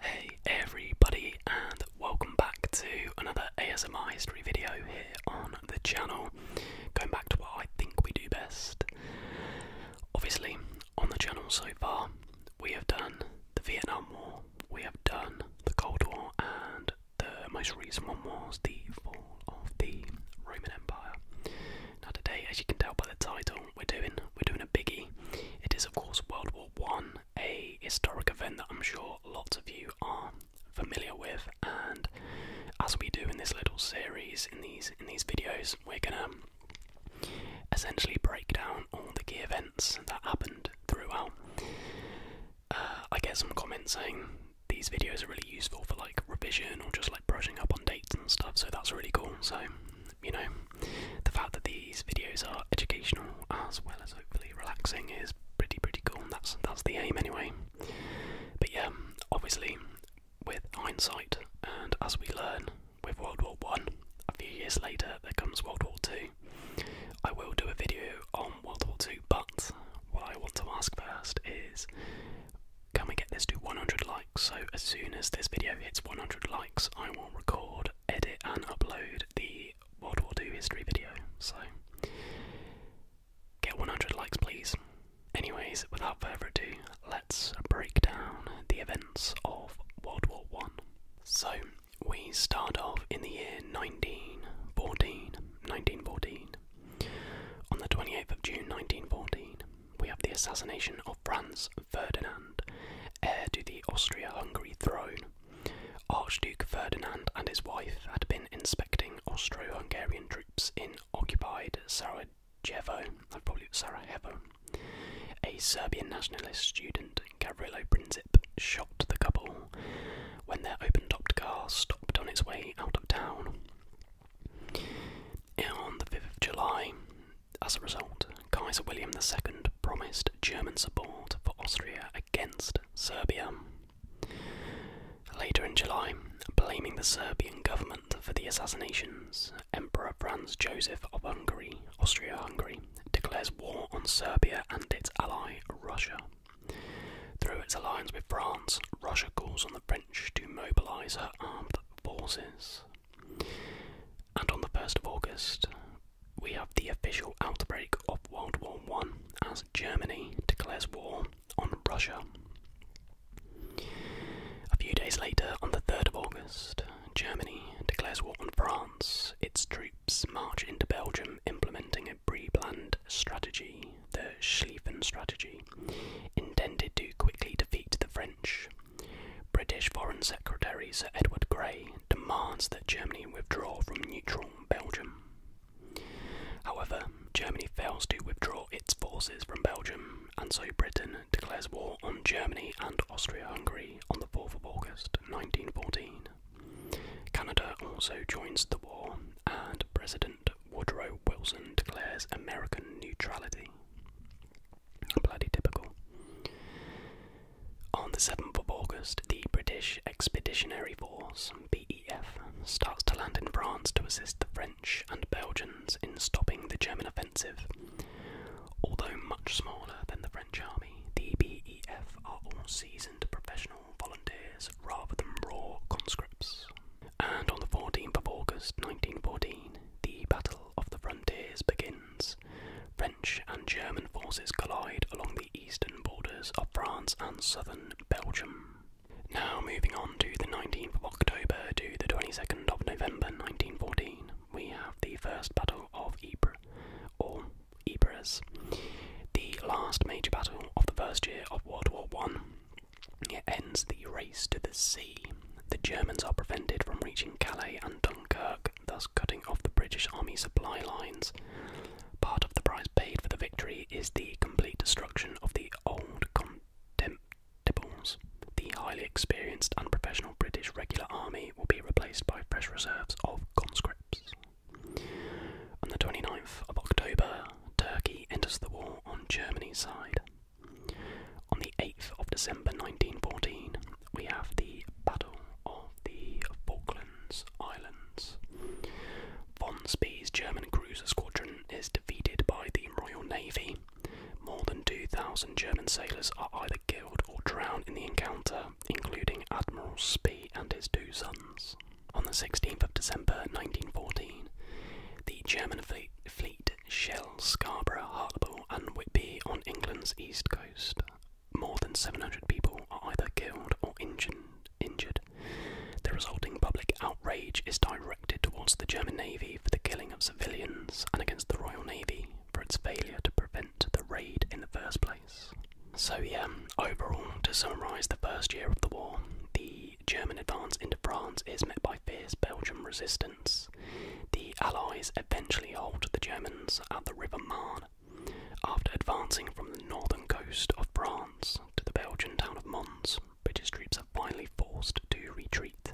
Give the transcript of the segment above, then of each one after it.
Hey everybody and welcome back to another ASMI history video here on the channel. Going back to what I think we do best. Obviously on the channel so far we have done the Vietnam War, we have done the Cold War and the most recent one was the fall of the Roman Empire. Now today as you can tell by the title we're doing we're doing a biggie. It is of course World War One a historic event that I'm sure lots of you are familiar with and as we do in this little series in these in these videos we're gonna essentially break down all the key events that happened throughout. Uh, I get some comments saying these videos are really useful for like revision or just like brushing up on dates and stuff so that's really cool so you know the fact that these videos are educational as well as hopefully relaxing is pretty pretty cool and that's that's the aim anyway. But yeah, obviously with hindsight and as we learn with World War One, a few years later there comes World War Two. I will do a video on World War Two, but what I want to ask first is can we get this to 100 likes? So as soon as this video hits 100 likes, I will record edit, and upload the World War II history video. So, get 100 likes, please. Anyways, without further ado, let's break down the events of World War One. So, we start off in the year 1914. 1914. On the 28th of June 1914, we have the assassination of Franz Ferdinand, heir to the Austria Hungary throne. Archduke Ferdinand and his wife had been inspecting Austro Hungarian troops in occupied Sarajevo, probably Sarajevo. A Serbian nationalist student, Gavrilo Princip, shot the couple when their open topped car stopped on its way out of town. On the 5th of July, as a result, Kaiser William II promised German support for Austria against Serbia. Later in July, blaming the Serbian government for the assassinations, Emperor Franz Joseph of Hungary, Austria Hungary, declares war on Serbia and its ally Russia. Through its alliance with France, Russia calls on the French to mobilise her armed forces. And on the 1st of August, we have the official outbreak of World War I as Germany declares war on Russia. A few days later, on the 3rd of August, Germany declares war on France. Its troops march into Belgium, implementing a pre-planned strategy, the Schlieffen Strategy, intended to quickly defeat the French British Foreign Secretary Sir Edward Grey demands that Germany withdraw from neutral Belgium. However, Germany fails to withdraw its forces from Belgium, and so Britain declares war on Germany and Austria Hungary on the 4th of August 1914. Canada also joins the war, and President Woodrow Wilson declares American neutrality. Bloody typical. On the 7th of August, the British Expeditionary Force, BEF, starts to land in France to assist the French and Belgians in stopping the German offensive. Although much smaller than the French army, the BEF are all seasoned professional volunteers rather than raw conscripts. And on the 14th of August 1914, the Battle of the Frontiers begins. French and German forces collide along the eastern borders of France and southern Belgium. Now, moving on to the 19th of October to the 22nd of November 1914, we have the First Battle of Ypres, or Ypres, the last major battle of the first year of World War One. It ends the race to the sea. The Germans are prevented from reaching Calais and Dunkirk thus cutting off the British Army supply lines. Part of the price paid for the victory is the complete destruction of the old contemptibles. The highly experienced and professional British regular army will be replaced by fresh reserves of conscripts. On the 29th of October, Turkey enters the war on Germany's side. On the 8th of December 1914, we have the Battle of the Falklands Islands. Von Spee's German cruiser squadron is defeated by the Royal Navy. More than 2,000 German sailors are either killed or drowned in the encounter, including Admiral Spee and his two sons. On the 16th of December 1914, the German fleet Shell, Scarborough, Hartlepool, and Whitby on England's east coast. More than 700 people are either killed or injured. The resulting public outrage is directed towards the German Navy for the killing of civilians and against the Royal Navy for its failure to prevent the raid in the first place. So, yeah, overall, to summarise the first year of the war, the German advance into France is met by fierce Belgian resistance the Allies eventually halt the Germans at the River Marne after advancing from the northern coast of France to the Belgian town of Mons. British troops are finally forced to retreat.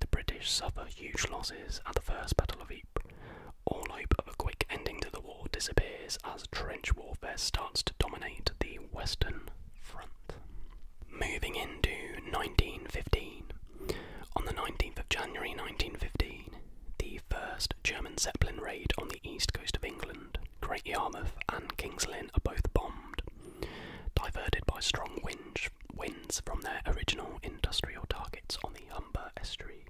The British suffer huge losses at the First Battle of Ypres. All hope of a quick ending to the war disappears as trench warfare starts to dominate the Western Front. Moving into 1915, on the 19th of January 1915, the first German Zeppelin raid on the east coast of England, Great Yarmouth and King's Lynn are both bombed, diverted by strong wind, winds from their original industrial targets on the Humber estuary.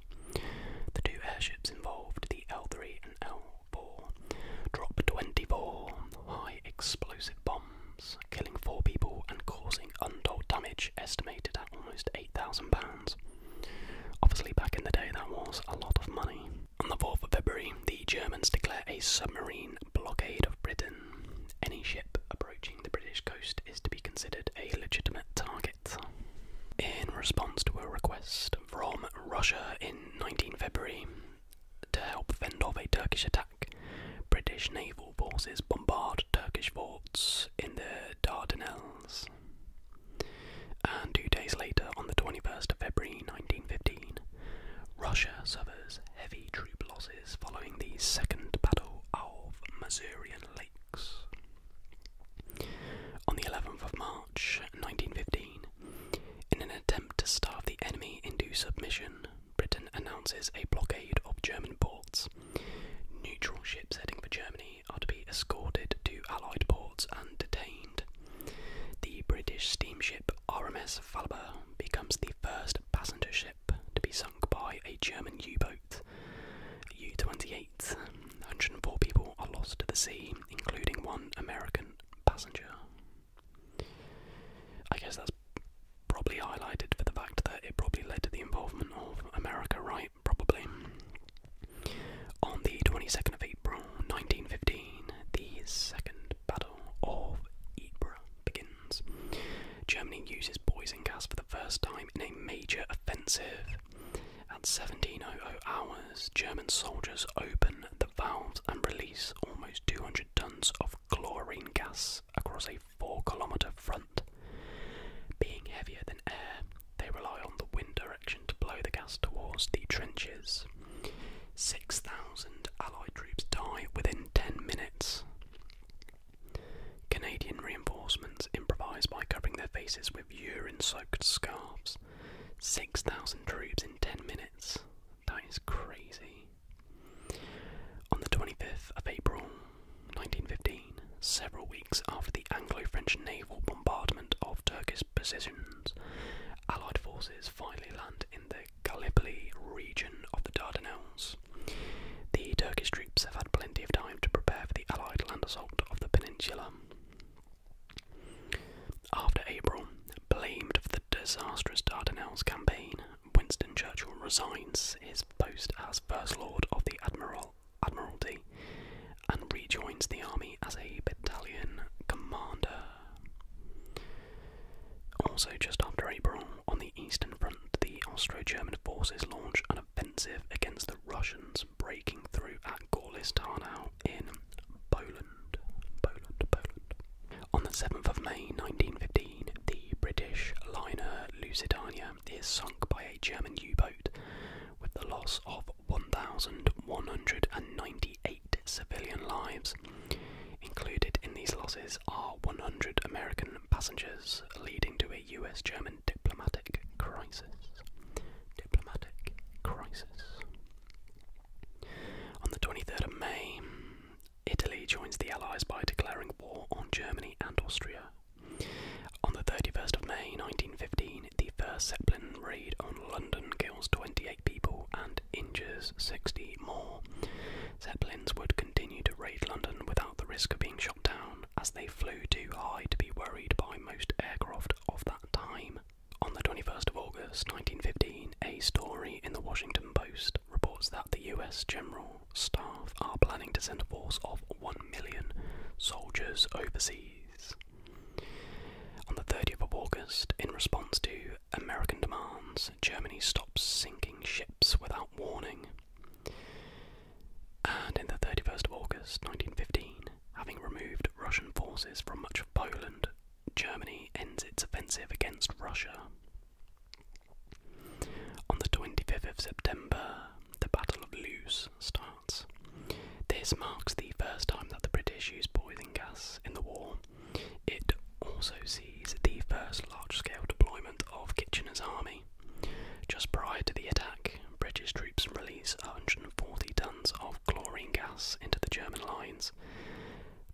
The two airships involved, the L3 and L4, dropped 24 high explosive bombs killing four people and causing untold damage estimated at almost £8,000. Obviously, back in the day, that was a lot of money. On the 4th of February, the Germans declare a submarine blockade of Britain. Any ship approaching the British coast is to be considered a legitimate target. In response to a request from Russia in 19 February to help fend off a Turkish attack British naval forces bombard Turkish forts in the Dardanelles. And two days later, on the 21st of February 1915, Russia suffers heavy troop losses following the Second Battle of the Masurian Lakes. On the 11th of March 1915, in an attempt to starve the enemy into submission, Britain announces a blockade of German ports. Neutral ships heading for Germany are to be escorted to Allied ports and detained. The British steamship RMS Falber becomes the first passenger ship to be sunk by a German U boat. U 28. 104 people are lost to the sea, including one American passenger. I guess that's probably highlighted for the fact that it probably led to the involvement of America, right? Probably. On the 22nd of April 1915, the Second Battle of Ypres begins. Germany uses poison gas for the first time in a major offensive. At 1700 hours, German soldiers open the valves and release almost 200 tons of chlorine gas across a 4 kilometre front. Being heavier than air, they rely on the wind direction to blow the gas towards the trenches. 6,000 Allied troops die within 10 minutes. Canadian reinforcements improvise by covering their faces with urine soaked scarves. 6,000 troops in 10 minutes. That is crazy. On the 25th of April 1915, several weeks after the Anglo French naval bombardment of Turkish positions, Allied forces finally land in the Gallipoli region of the Dardanelles. The Turkish troops have had plenty of time to prepare for the Allied land assault of the peninsula. After April, blamed for the disastrous Dardanelles campaign, Winston Churchill resigns his post as First Lord of the Admiralty and rejoins the army as a battalion commander. Also, just after April, on the Eastern Front, the Austro German forces launch an offensive against the Russians, breaking through at Gorlice Tarnow in Poland. Poland, Poland. On the 7th of May 1915, the British liner Lusitania is sunk by a German U boat with the loss of 1,198 civilian lives. Included in these losses are 100 American passengers, leading to a US German diplomatic crisis. Diplomatic crisis. On the 23rd of May, Italy joins the Allies by declaring war on Germany and Austria. On the 31st of May 1915, the first Zeppelin raid on London kills 28 people and injures 60 more. Zeppelins would continue to raid London without the risk of being shot down, as they flew too high to be worried by most aircraft of that time. On the 21st of August 1915, a story in the Washington Post reports that the US General Staff are planning to send a force of 1 million soldiers overseas. On the 30th of August, in response to American demands, Germany stops sinking ships without warning. And in the 31st of August 1915, having removed Russian forces from much of Poland, Germany ends its offensive against Russia. On the 25th of September, the Battle of Loos starts. This marks the first time that the British used boiling gas in the war. It also sees the first large scale deployment of Kitchener's army. Just prior to the attack, British troops release 140 tons of chlorine gas into the German lines.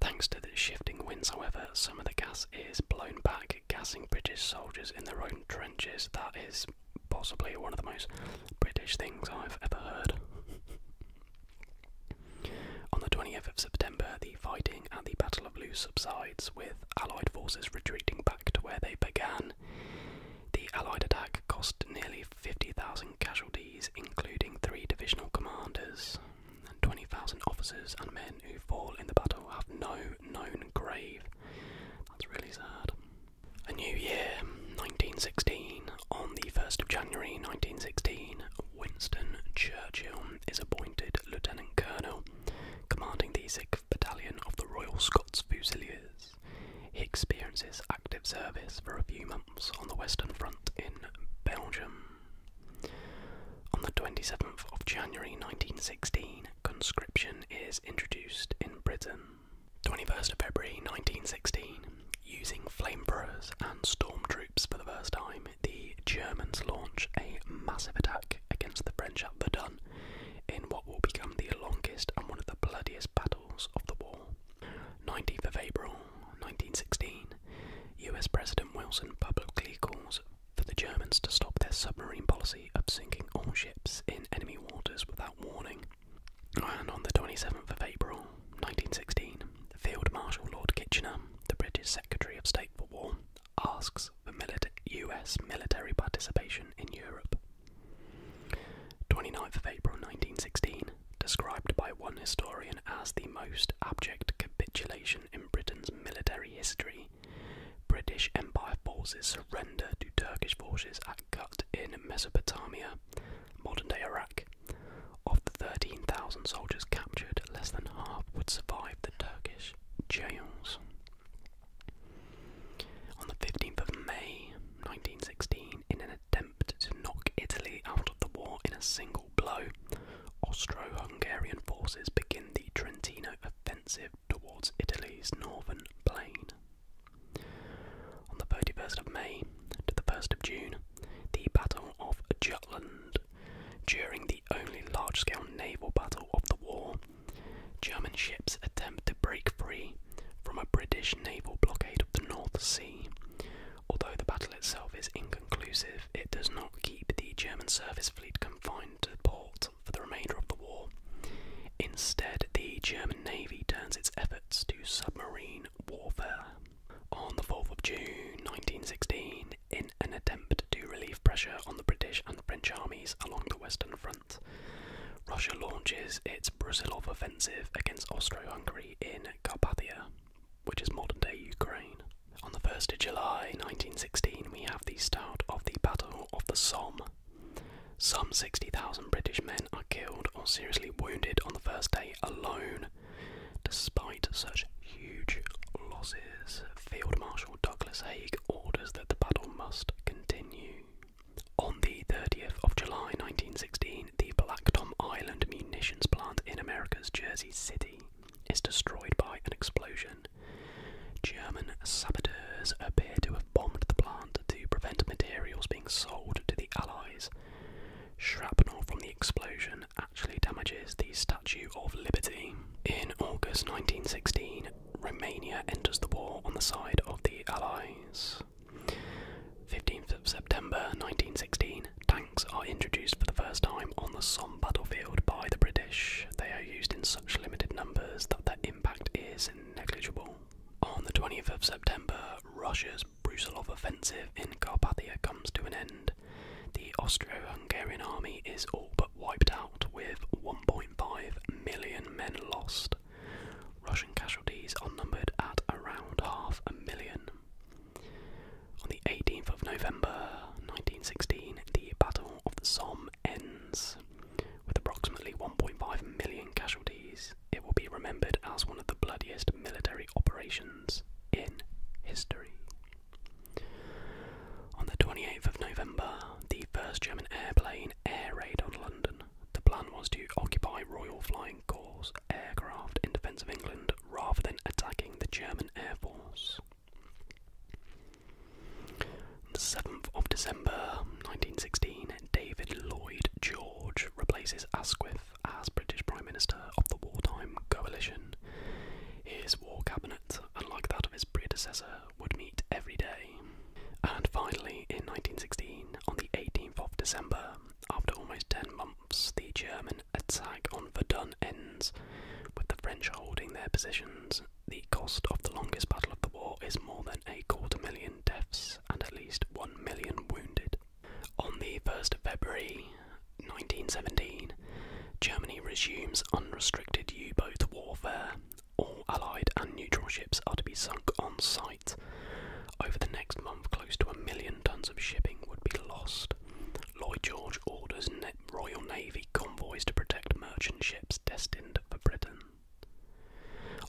Thanks to the shifting winds, however, some of the gas is blown back, gassing British soldiers in their own trenches. That is possibly one of the most British things I've ever heard. On the 20th of September, the fighting at the Battle of Loos subsides, with Allied forces retreating back to where they began. The Allied attack cost nearly 50,000 casualties, including three divisional commanders and 20,000 officers and men who fall in the battle have no known grave. That's really sad. A new year, 1916. On the 1st of January 1916, Winston Churchill is appointed Lieutenant Colonel, commanding the 6th Battalion of the Royal Scots Fusiliers. He experiences active service for a few months on the Western Front in Belgium. On the 27th of January 1916, conscription is introduced in Britain. 21st of February 1916, using flamethrowers and storm troops for the first time, the Germans launch a massive attack against the French at Verdun in what will become the longest and one of the bloodiest battles of the war. 19th of April 1916, US President Wilson publicly calls for the Germans to stop their submarine policy of sinking all ships in enemy waters without warning. And on the 27th of April 1916, Field Marshal Lord Kitchener, the British Secretary of State for War, asks for US military participation in Europe. 29th of April 1916, described by one historian as the most abject capitulation in Britain's military history. British Empire forces surrender to Turkish forces at Kut in Mesopotamia, modern day Iraq. Of the 13,000 soldiers captured, less than half would survive the Turkish jails. On the 15th of May 1916, in an attempt to knock Italy out of the war in a single single blow, Austro-Hungarian forces begin the Trentino offensive towards Italy's northern plain. On the 31st of May to the 1st of June, the Battle of Jutland, during the only large-scale naval battle of the war, German ships attempt to break free from a British naval blockade of the North Sea, Although the battle itself is inconclusive, it does not keep the German surface fleet confined to port for the remainder of the war. Instead, the German Navy turns its efforts to submarine warfare. On the 4th of June 1916, in an attempt to relieve pressure on the British and French armies along the Western Front, Russia launches its Brusilov offensive against Austro Hungary in Carpathia which is modern day Ukraine. On the 1st of July 1916, we have the start of the Battle of the Somme. Some 60,000 British men are killed or seriously wounded on the first day alone. Despite such huge losses, Field Marshal Douglas Haig orders that the battle must continue. On the 30th of July 1916, the Black Tom Island munitions plant in America's Jersey City is destroyed by an explosion. German saboteurs appear to have bombed the plant to prevent materials being sold to the Allies. Shrapnel from the explosion actually damages the Statue of Liberty. In August 1916, Romania enters the war on the side of the Allies. 15th of September 1916, are introduced for the first time on the Somme battlefield by the British, they are used in such limited numbers that their impact is negligible. On the 20th of September, Russia's Brusilov offensive in Carpathia comes to an end. The Austro Hungarian army is all but wiped out, with 1.5 million men lost. Russian casualties are numbered at around half a million. On the 18th of November 1916, the Battle of the Somme ends. With approximately 1.5 million casualties, it will be remembered as one of the bloodiest military operations in history. On the 28th of November, the first German airplane air raid on London. The plan was to occupy Royal Flying Corps aircraft in defence of England rather than attacking the German Air Force. The 7th of December 1916, David Lloyd George replaces Asquith as British Prime Minister of the wartime coalition. His war cabinet, unlike that of his predecessor, would meet every day. And finally, in 1916, on the 18th of December, after almost 10 months, the German attack on Verdun ends, with the French holding their positions. The cost of the longest battle of the war is more than a quarter million deaths and at least one million wounded. On the 1st of February 1917, Germany resumes unrestricted U boat warfare. All Allied and neutral ships are to be sunk on sight. Over the next month, close to a million tons of shipping would be lost. Lloyd George orders Royal Navy convoys to protect merchant ships destined for Britain.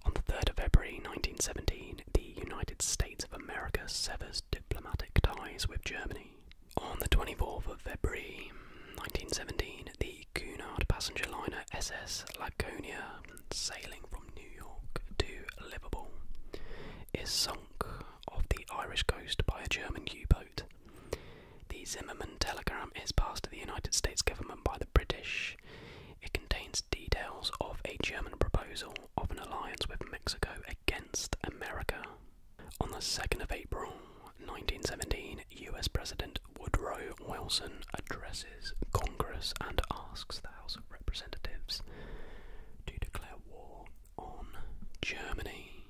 On the 3rd of February 1917, the United States of America severs diplomatic ties with Germany. On the 24th of February 1917, the Cunard passenger liner SS Laconia, sailing from New York to Liverpool, is sunk of the Irish coast by a German U boat. The Zimmerman telegram is passed to the United States government by the British. It contains details of a German proposal of an alliance with Mexico against America. On the 2nd of April 1917, US President Woodrow Wilson addresses Congress and asks the House of Representatives to declare war on Germany.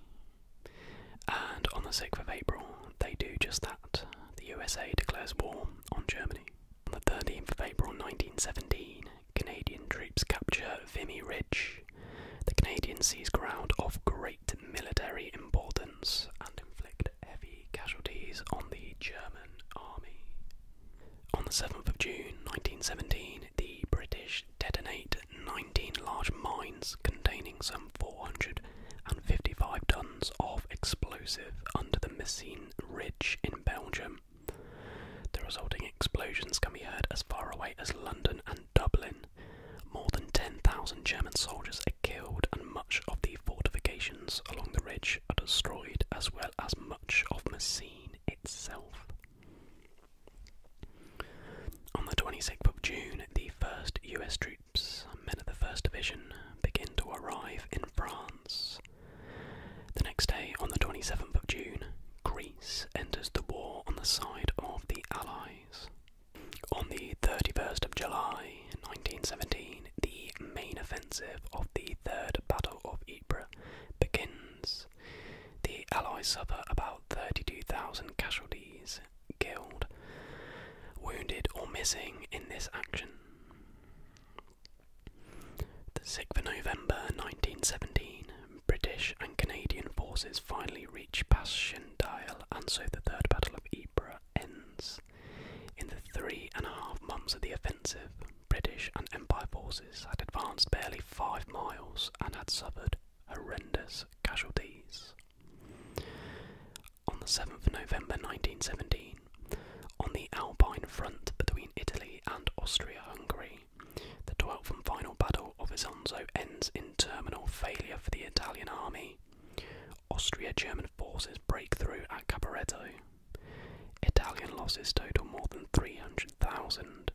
And on the 6th of April, they do just that. The USA declares war on Germany. On the 13th of April 1917, Canadian troops capture Vimy Ridge. The Canadians seize ground of great military importance and inflict heavy casualties on the German army. On the 7th of June 1917, the British detonate 19 large mines containing some 455 tons of explosive under the Messine Ridge in Belgium. The resulting explosions can be heard as far away as London and Dublin. More than 10,000 German soldiers are killed, and much of the fortifications along the ridge are destroyed, as well as much of Messine itself. On the 26th of June, the first US troops, men of the 1st Division, begin to arrive in France. The next day, on the 27th of June, Greece enters the war on the side of the Allies. On the 31st of July 1917, the main offensive of the Third Battle of Ypres begins the Allies suffer about 32,000 casualties, killed, wounded, or missing in this action. The 6th of November 1917, British and Canadian forces finally reach Pas Shendial, and so the Third Battle of Ypres ends. In the three and a half months of the offensive, British and Empire forces had advanced barely five miles and had suffered horrendous casualties. On the 7th November 1917, on the Alpine front between Italy and Austria Hungary, the 12th and final battle of Isonzo ends in terminal failure for the Italian army. Austria German forces break through at Caporetto. Italian losses total more than 300,000,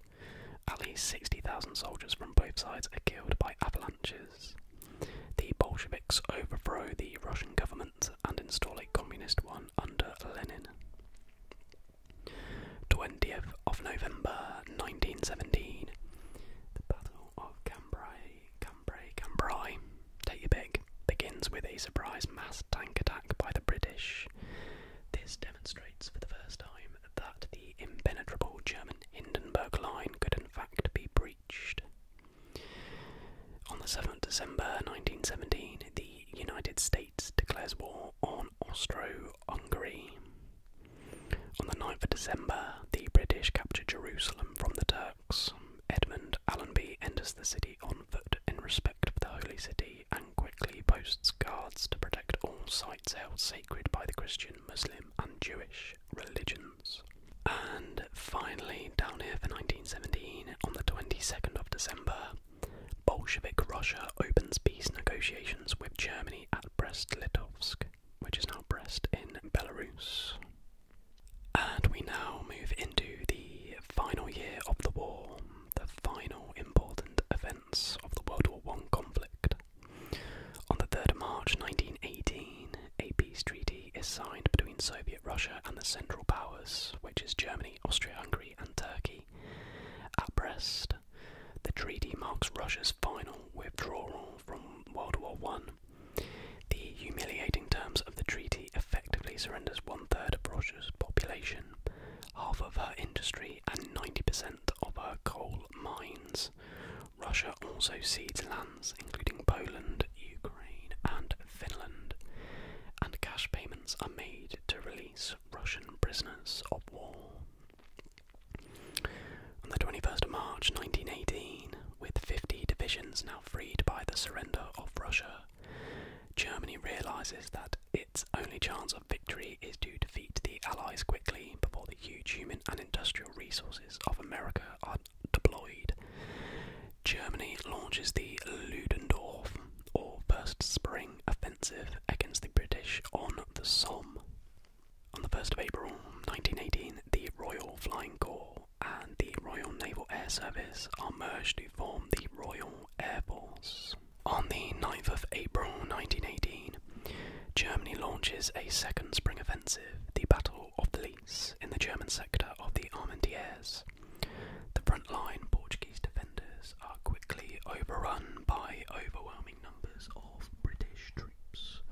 at least 60,000 soldiers from both sides are killed by avalanches. The Bolsheviks overthrow the Russian government and install a communist one under Lenin. 20th of November 1917. The Battle of Cambrai, Cambrai, Cambrai, take your pick, begins with a surprise mass tank attack by the British. This demonstrates for the first time that the impenetrable German Hindenburg Line could in fact be breached. On the 7th December 1917, the United States declares war on Austro-Hungary. On the 9th of December, the British capture Jerusalem from the Turks. Edmund Allenby enters the city on foot in respect of the Holy City and quickly posts guards to protect all sites held sacred by the Christian, Muslim, and Jewish religions. And finally, down here for 1917, on the 22nd of December, Bolshevik Russia opens peace negotiations with Germany at Brest Litovsk, which is now Brest in Belarus. And we now move into the final year of the war, the final important event of the World War I conflict. On the 3rd of March 1918, a peace treaty is signed between Soviet Russia and the Central Powers, which is Germany, Austria Hungary, and Turkey. At Brest, the treaty marks Russia's final withdrawal from World War I. The humiliating terms of the treaty effectively surrenders one third of Russia's population, half of her industry, and 90% of her coal mines. Russia also cedes lands, including Poland, Ukraine, and Finland, and cash payments are made to release Russian prisoners of war. On the 21st of March 1918, with 50 divisions now freed by the surrender of Russia, Germany realizes that its only chance of victory is to defeat the Allies quickly before the huge human and industrial resources of America are deployed. Germany launches the Ludendorff, or First Spring Offensive, against the British on the Somme. On the 1st of April 1918, the Royal Flying Corps and the Royal Naval Air Service are merged to form the Royal Air Force. On the 9th of April 1918, Germany launches a second spring offensive, the Battle of the Lys, in the German sector of the Armentières. The front-line Portuguese defenders are quickly overrun by overwhelming numbers of British troops.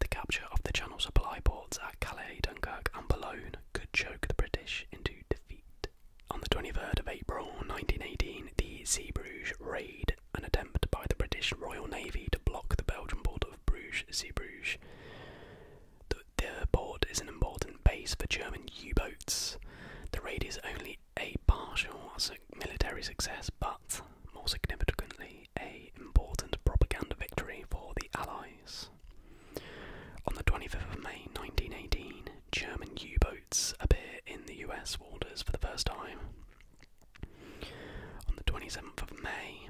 The capture of the Channel supply ports at Calais, Dunkirk, and Boulogne could choke the British into defeat. On the 23rd of April 1918, the Sea raid, an attempt by the British Royal Navy to block the Belgian port of Bruges, Sea The, the port is an important base for German U boats. The raid is only a partial military success, but more significantly, a important propaganda victory for the Allies. On the 25th of May 1918, German U boats boats appear in the US waters for the first time. On the 27th of May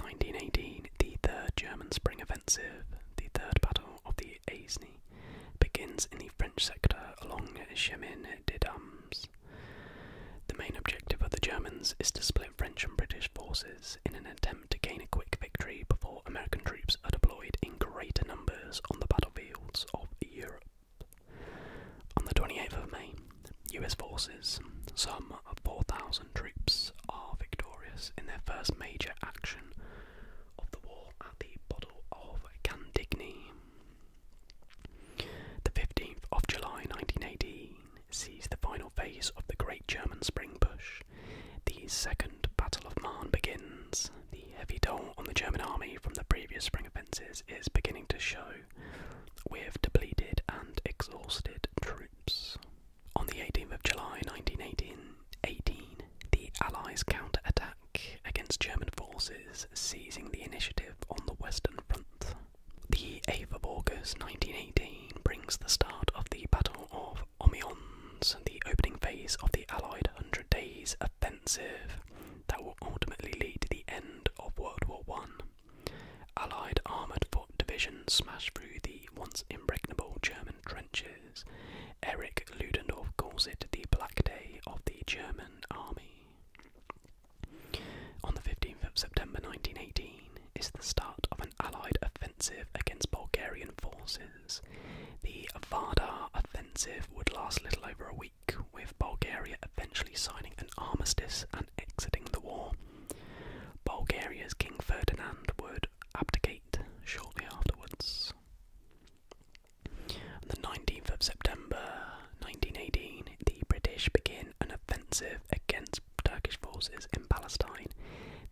1918, the Third German Spring Offensive, the Third Battle of the Aisne, begins in the French sector along Chemin de Dames. The main objective of the Germans is to split French and British forces in an attempt to gain a quick victory before American troops are deployed in greater numbers on the battlefields of Europe. On the 28th of May, US forces, some 4,000 troops, are victorious in their first major action of the war at the Battle of Candigny. The 15th of July 1918 sees the final phase of the Great German Spring Push. The Second Battle of Marne begins, the heavy toll on the German army from the previous spring offensives is beginning to show, with depleted and exhausted troops. On the 18th of July 1918, the Allies counterattack against German forces, seizing the initiative on the Western Front. The 8th of August 1918 brings the start of the Battle of Amiens, the opening phase of the Allied Days offensive that will ultimately lead to the end of World War One. Allied armoured foot divisions smash through the once impregnable German trenches. Erich Ludendorff calls it the Black Day of the German Army. On the 15th of September 1918 is the start of an Allied offensive against Bulgarian forces. The Vardar offensive would last little over a week, with Bulgaria eventually signing an armistice and exiting the war. Bulgaria's King Ferdinand would abdicate shortly afterwards. On the 19th of September 1918, the British begin an offensive against Turkish forces in Palestine.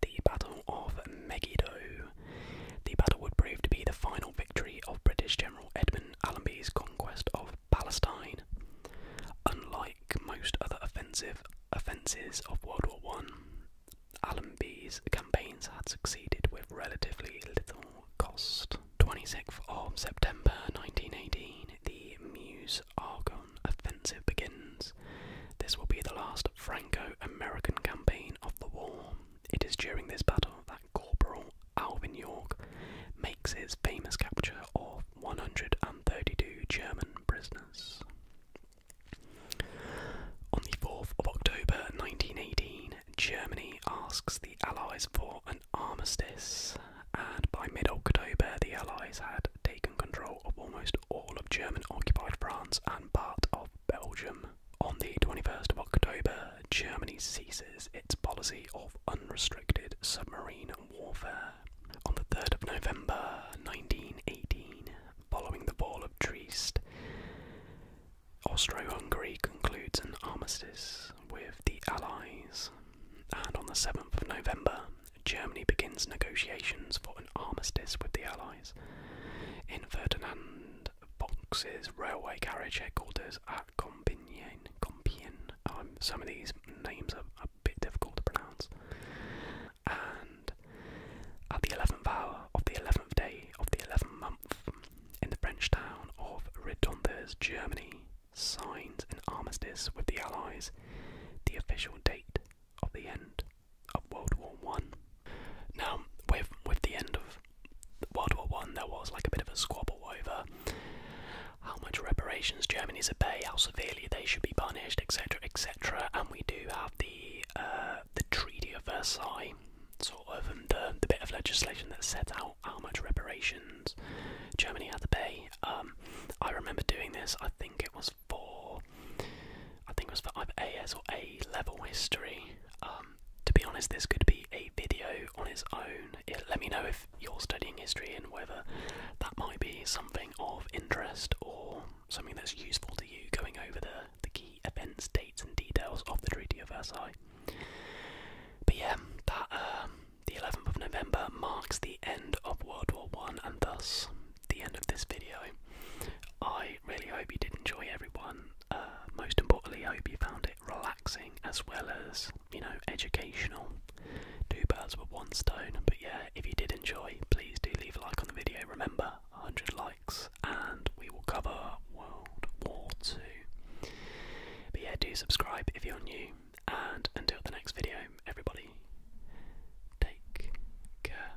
The Battle of Megiddo the battle would prove to be the final victory of British General Edmund Allenby's conquest of Palestine. Unlike most other offensive offences of World War I, Allenby's campaigns had succeeded with relatively little cost. 26th of September 1918, the Meuse Argonne offensive begins. This will be the last Franco American campaign of the war. It is during this battle that Corporal Alvin York makes his famous capture of 132 German prisoners. On the 4th of October 1918, Germany asks the Allies for an armistice, and by mid October, the Allies had taken control of almost all of German occupied France and part of Belgium. On the 21st of October, Germany ceases its policy of unrestricted submarine warfare. On the 3rd of November 1918, following the fall of Trieste, Austro Hungary concludes an armistice with the Allies. And on the 7th of November, Germany begins negotiations for an armistice with the Allies. In Ferdinand boxes, railway carriage headquarters at Compiègne. Compiègne. Oh, some of these names are a bit difficult to pronounce. And at the 11th hour of the 11th day of the 11th month, in the French town of Redonders, Germany, signs an armistice with the Allies, the official date of the end of World War One. Now, with with the end of World War One, there was like a bit of a squabble over how much reparations Germany's to pay, how severely they should be punished, etc., etc. And we do have the uh, the Treaty of Versailles, sort of um, the the bit of legislation that set out how much reparations Germany had to pay. Um, I remember doing this. I think it was four. I think it was for either AS or A level history. Um, to be honest, this could be a video on its own. let me know if you're studying history and whether that might be something of interest or something that's useful to you going over the, the key events, dates, and details of the Treaty of Versailles. But yeah, um, the 11th of November marks the end of World War One and thus the end of this video. I really hope you did enjoy everyone. Uh, most importantly, I hope you found it relaxing as well as, you know, educational. Two birds with one stone. But yeah, if you did enjoy, please do leave a like on the video. Remember, 100 likes and we will cover World War II. But yeah, do subscribe if you're new. And until the next video, everybody, take care.